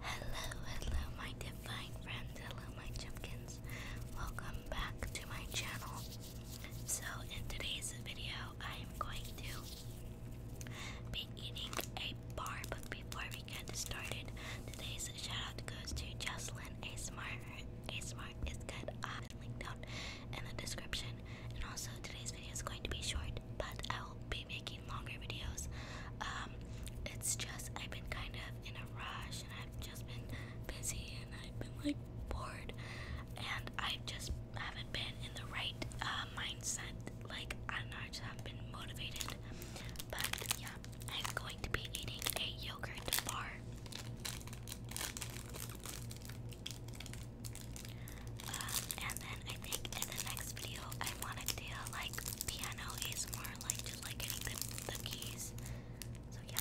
Hello, hello, my divine friends. Hello, my chipkins. Welcome back to my channel. So, in today's video, I am going to be eating a bar. But before we get started, today's shoutout goes to Jocelyn A Smart. A Smart is good. I've linked out in the description. And also, today's video is going to be short but I will be making longer videos. Um, it's just I've been kind of in a rush and I've just been busy and I've been like bored and I just haven't been in the right uh, mindset. Like I don't know, I just haven't been motivated. But yeah, I'm going to be eating a yogurt bar. Um, and then I think in the next video I want to do like piano ASMR, like just like getting the keys. So yeah.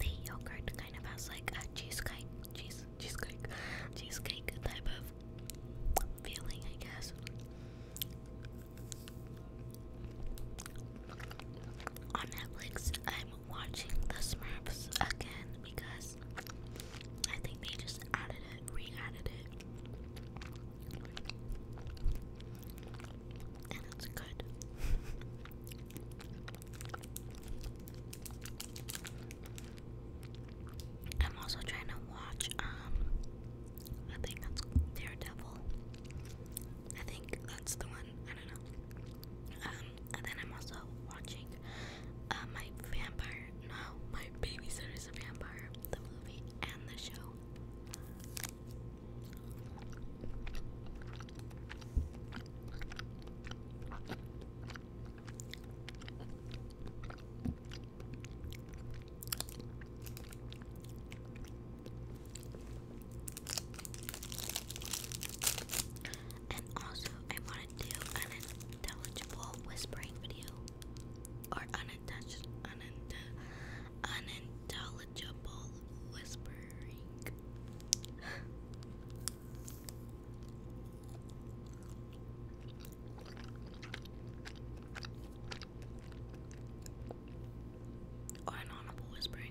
The yogurt kind of has like a cheesecake, cheese, cheesecake, cheesecake type of feeling, I guess on Netflix, I'm watching The Smurfs again because I think they just added it, re it. And it's good. I'm also trying to watch, um, I think that's Daredevil. I think that's the one I don't know. and then I'm also watching uh, my vampire. No, my babysitter a vampire. The movie and the show. And also, I want to do an intelligible whispering video, or unintelligible whispering or an audible whispering.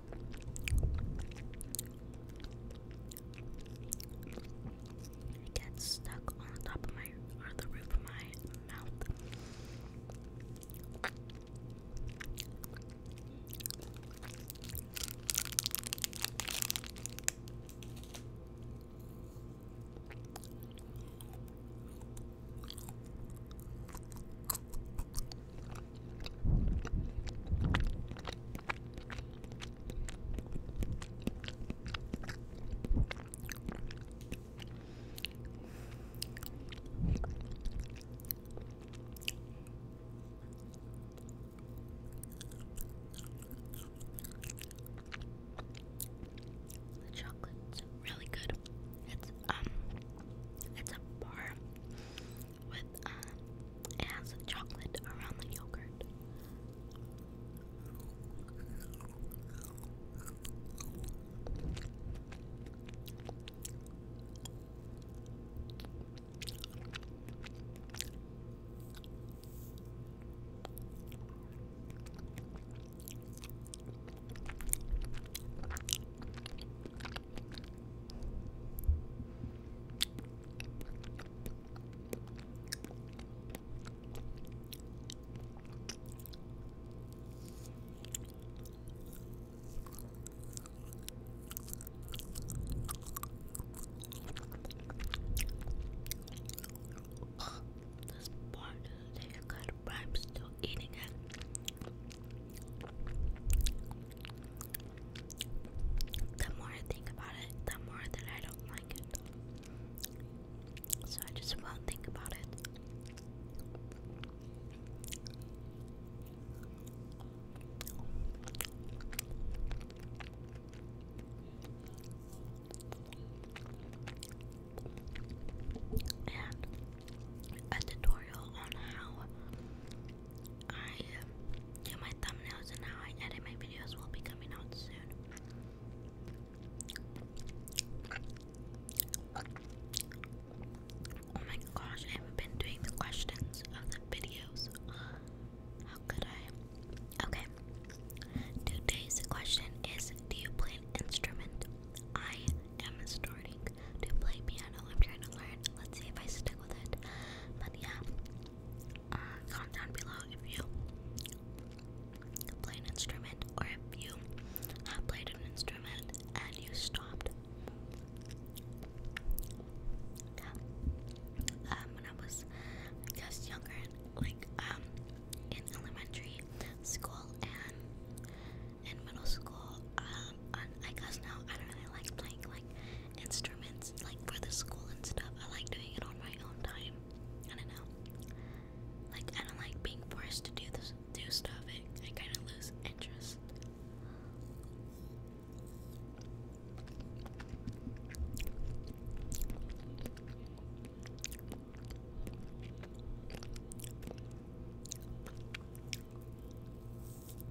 It gets stuck on the top of my or the roof of my mouth. The chocolate's really good. It's um it's a bar with um, it has chocolate around the yogurt. Oh, this part is kind of i still eating it. The more I think about it, the more that I don't like it. So I just won't think about it. And a tutorial on how I do my thumbnails and how I edit my videos will be coming out soon. Oh my gosh, I have been doing the questions of the videos. How could I? Okay. Today's question is Do you play an instrument? I am starting to play piano. I'm trying to learn. Let's see if I stick with it. But yeah, uh, comment down below if you play an instrument or if you have played an instrument and you stopped. Yeah. Um, when I was, I younger, like um, in elementary school and in middle school. Um, I guess now I don't really like playing like instruments like for the school and stuff. I like doing it on my own time. I don't know. Like I don't like being forced to do this do stuff. It, I kind of lose interest.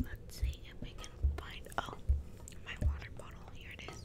Let's see if we can find. Oh, my water bottle. Here it is.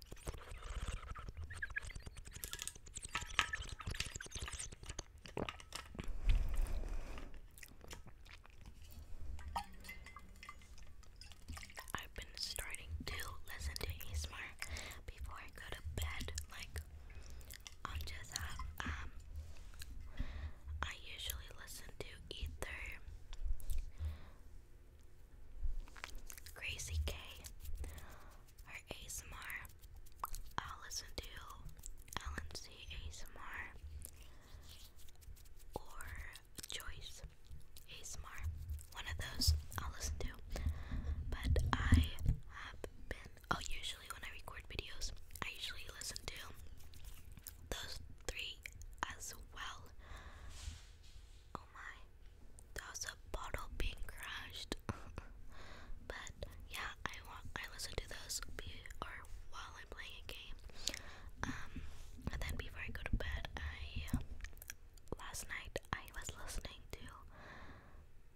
I've been starting to listen to ASMR before I go to bed. Like, I'll just um, I usually listen to either Crazy K, her ASMR. I'll listen LNC ASMR or Choice ASMR. One of those I'll listen to. But I have been. Oh, usually when I record videos, I usually listen to those three as well. Oh my. That was a bottle being crushed, but yeah, I want I listen to those or while I'm playing a game. Um, and then before I go to bed, I last night I was listening to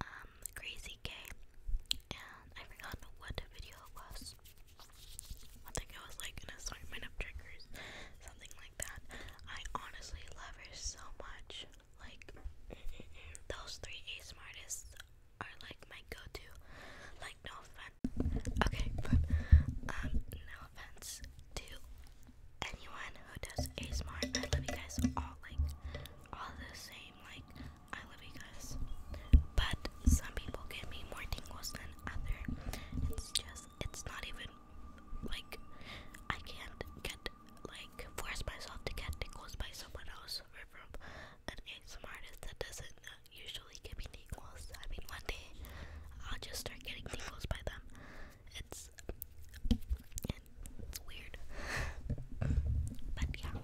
um, Crazy K, and I forgot what the video was. I think it was like an assortment of triggers, something like that. I honestly love her so much. Like those three A Smartest are like my go-to. Like no offense. Okay, but um, no offense to anyone who does ASMR. I love you guys all like all the same. Like I love you guys, but some people give me more tingles than other. It's just it's not even like I can't get like force myself to get tingles by someone else or from an ASMR that doesn't usually give me tingles. I mean, one day I'll just start getting tingles by them. It's it's weird, but yeah.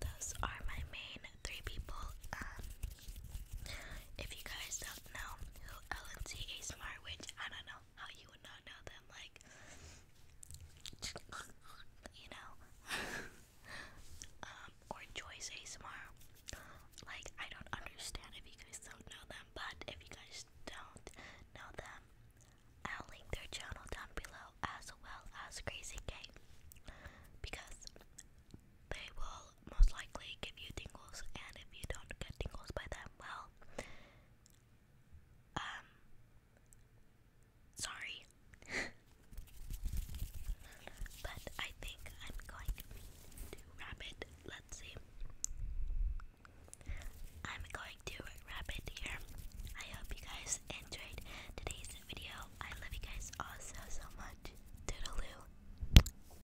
Those are my main three people. Um, if you guys don't know who LNT ASMR, which I don't know how you would not know them, like, you know, um, or Joyce ASMR, like, I don't understand if you guys don't know them, but if you guys don't know them, I'll link their channel down below as well as Crazy K because they will most likely give you tingles, and if you don't get tingles by them, well, um, sorry. but I think I'm going to wrap it. Let's see. I'm going to wrap here. I hope you guys enjoyed today's video. I love you guys all so so much. Toodaloo.